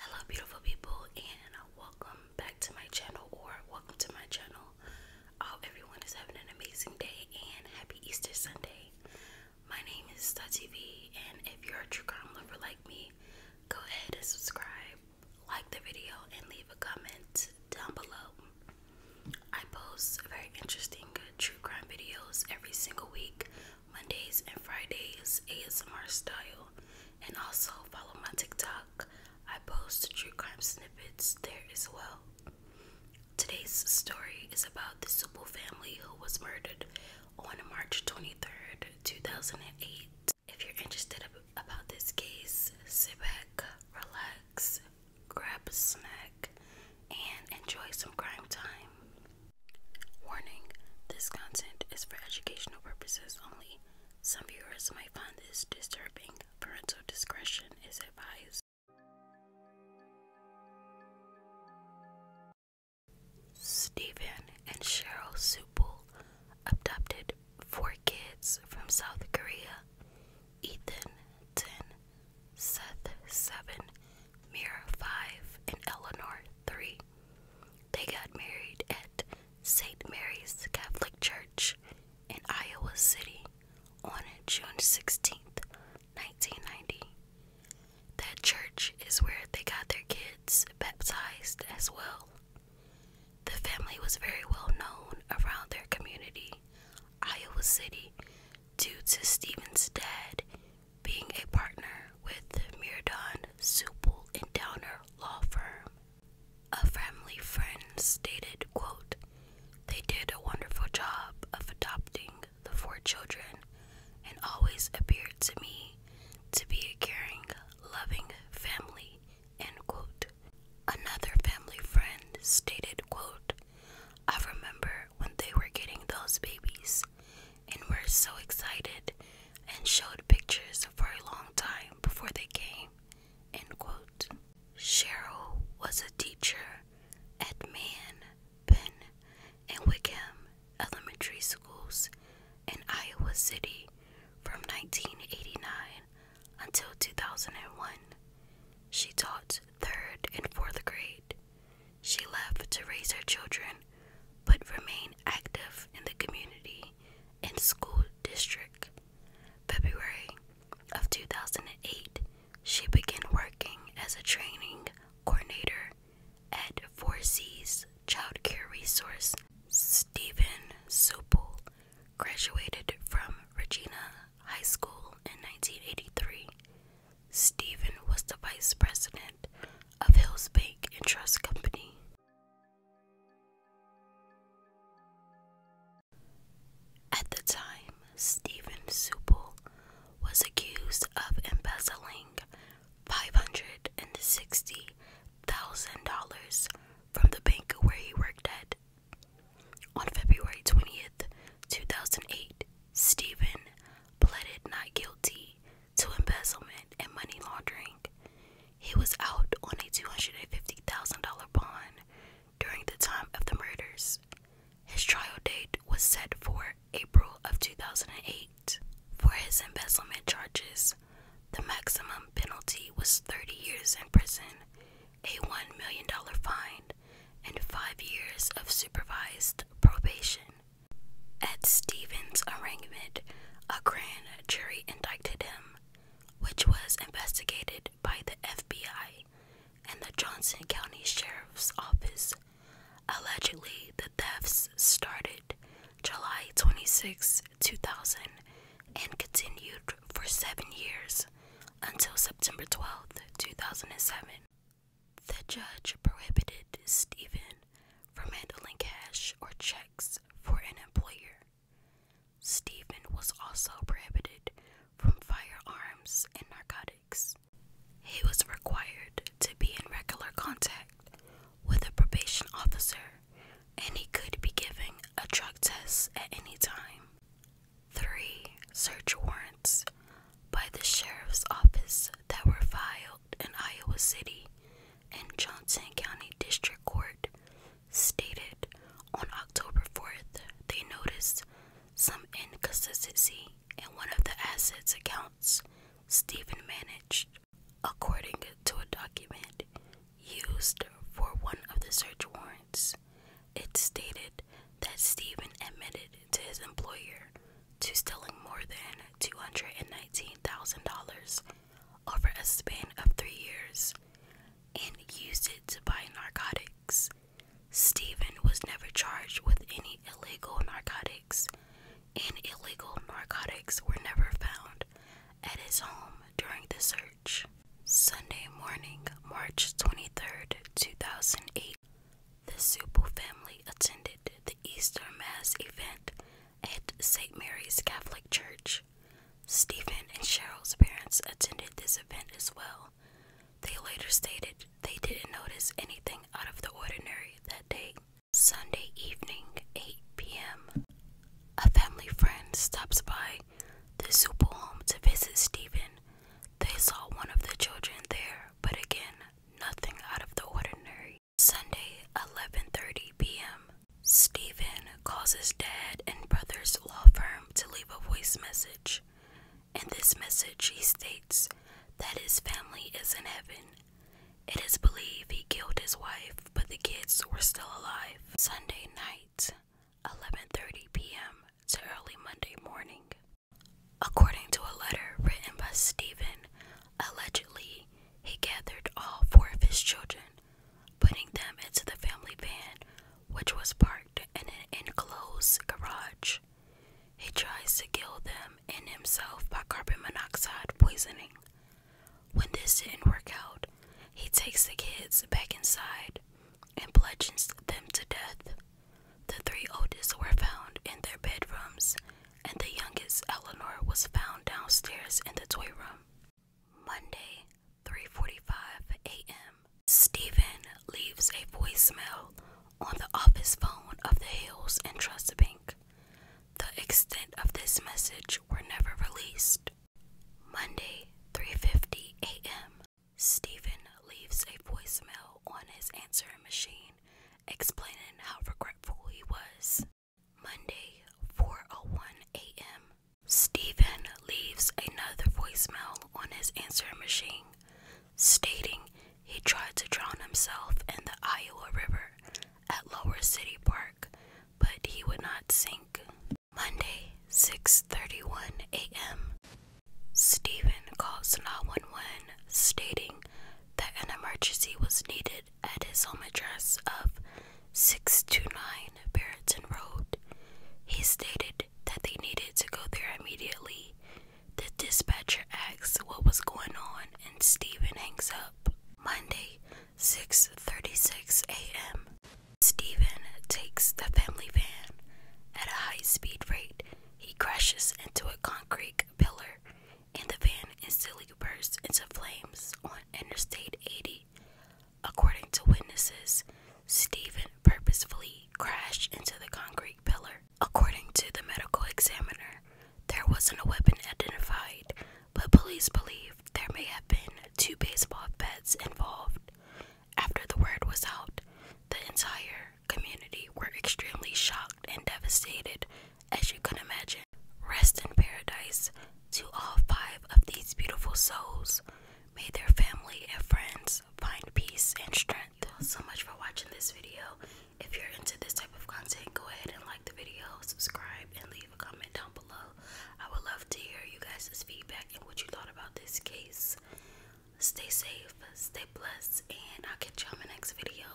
Hello, beautiful people, and welcome back to my channel, or welcome to my channel. I everyone is having an amazing day and happy Easter Sunday. My name is Star and if you're a true crime lover like me, go ahead and subscribe, like the video, and leave a comment down below. I post very interesting true crime videos every single week Mondays and Fridays ASMR style. And also follow my TikTok. I post true crime snippets there as well. Today's story is about the Subu family who was murdered on March 23rd, 2008. If you're interested about this case, sit back, relax, grab a snack, and enjoy some crime time. Warning this content is for educational purposes only. Some viewers might find this disturbing. Parental discretion is advised. Stephen and Cheryl Supul adopted four kids from South Korea Ethan, 10, Seth, 7, Mira 5, and Eleanor 3. They got married at St. Mary's Catholic Church in Iowa City on June sixteenth, 1990. That church is where they got their kids baptized as well. The family was very well known around their community, Iowa City, due to Stephen's dad being a partner with Miradon, Supple, and Downer law firm. A family friend stated, quote, They did a wonderful job of adopting the four children and always appeared to me to be a caring, loving family, end quote. Another family friend stated, quote, I remember when they were getting those babies and were so excited and showed pictures for a long time before they came. End quote. Cheryl was a teacher at Man, Penn, and Wickham elementary schools in Iowa City from 1989 until 2001. She taught third and fourth grade. She left to raise her children but remained active in the community and school district. February of 2008, she began working as a training coordinator at 4C's Child Care Resource. Stephen Supple graduated from Regina high school in 1983, Stephen was the vice president of Hills Bank and Trust Company. At the time, Stephen Supple was accused of embezzling $560,000 from the bank where he worked at on February 20th, 2008, Stephen pleaded not guilty to embezzlement and money laundering. He was out on a $250,000 bond during the time of the murders. His trial date was set for April of 2008. For his embezzlement charges, the maximum penalty was 30 years in prison a $1 million fine, and five years of supervised probation. At Stevens' arraignment, a grand jury indicted him, which was investigated by the FBI and the Johnson County Sheriff's Office. Allegedly, the thefts started July 26, 2000, and continued for seven years until September 12, 2007. The judge prohibited Stephen from handling cash or checks for an employer. Stephen was also prohibited from firearms and narcotics. He was required to be in regular contact with a probation officer and he could be giving a drug test at any time. 3. Search warrants by the sheriff's office that were filed in Iowa City and Johnson County District Court stated on October 4th they noticed some inconsistency in one of the assets accounts Stephen managed. According to a document used for one of the search warrants. It stated that Stephen admitted to his employer to stealing more than $219,000 over a span of three years and used it to buy narcotics. Stephen was never charged with any illegal narcotics, and illegal narcotics were never found at his home during the search. Sunday morning, March 23rd, 2008, the Supple family attended the Easter Mass event at St. Mary's Catholic Church. Stephen and Cheryl's parents attended this event as well. They later stated they didn't notice anything out of the ordinary that day. Sunday evening, 8 p.m., a family friend stops by the super home to visit Stephen. They saw one of the children there, but again, nothing out of the ordinary. Sunday, 11:30 p.m., Stephen calls his dad and brother's law firm to leave a voice message. In this message, he states that his family is in heaven it is believed he killed his wife, but the kids were still alive. Sunday night, 11:30 p.m. to early Monday morning. According to a letter written by Stephen, allegedly he gathered all four of his children, putting them into the family van, which was parked in an enclosed garage. He tries to kill them and himself by carbon monoxide poisoning. When this didn't work out, he takes the kids back inside and bludgeons them to death. The three oldest were found in their bedrooms, and the youngest, Eleanor, was found downstairs in the toy room. Monday, 3:45 a.m. Stephen leaves a voicemail on the office phone of the Hills and Trust Bank. The extent of this message were never released. Monday, 3:50 a.m. Stephen leaves a voicemail on his answering machine explaining how regretful he was. Monday, 4:01 a.m. Stephen leaves another voicemail on his answering machine stating he tried to drown himself in the Iowa River at Lower City Park, but he would not sink. Monday, 6:31 a.m. Stephen calls 911 stating that an emergency was needed at his home address of 629 Barretton Road. He stated that they needed to go there immediately the dispatcher asks what was going on and Stephen hangs up. Monday, 6:36 a.m. Stephen takes the family van at a high speed rate. He crashes into a concrete pillar and the van instantly bursts into flames on Interstate 80. According to witnesses, Stephen purposefully crashed into the concrete pillar According to the medical examiner, there wasn't a weapon identified, but police believe there may have been two baseball bats involved. After the word was out, the entire community were extremely shocked and devastated, as you can imagine. Rest in paradise to all five of these beautiful souls. May their family and friends find peace and strength. Thanks so much for watching this video. If you're into this type of content, go ahead and like the video, subscribe, and leave a comment down below. I would love to hear you guys' feedback and what you thought about this case. Stay safe, stay blessed, and I'll catch you on in my next video.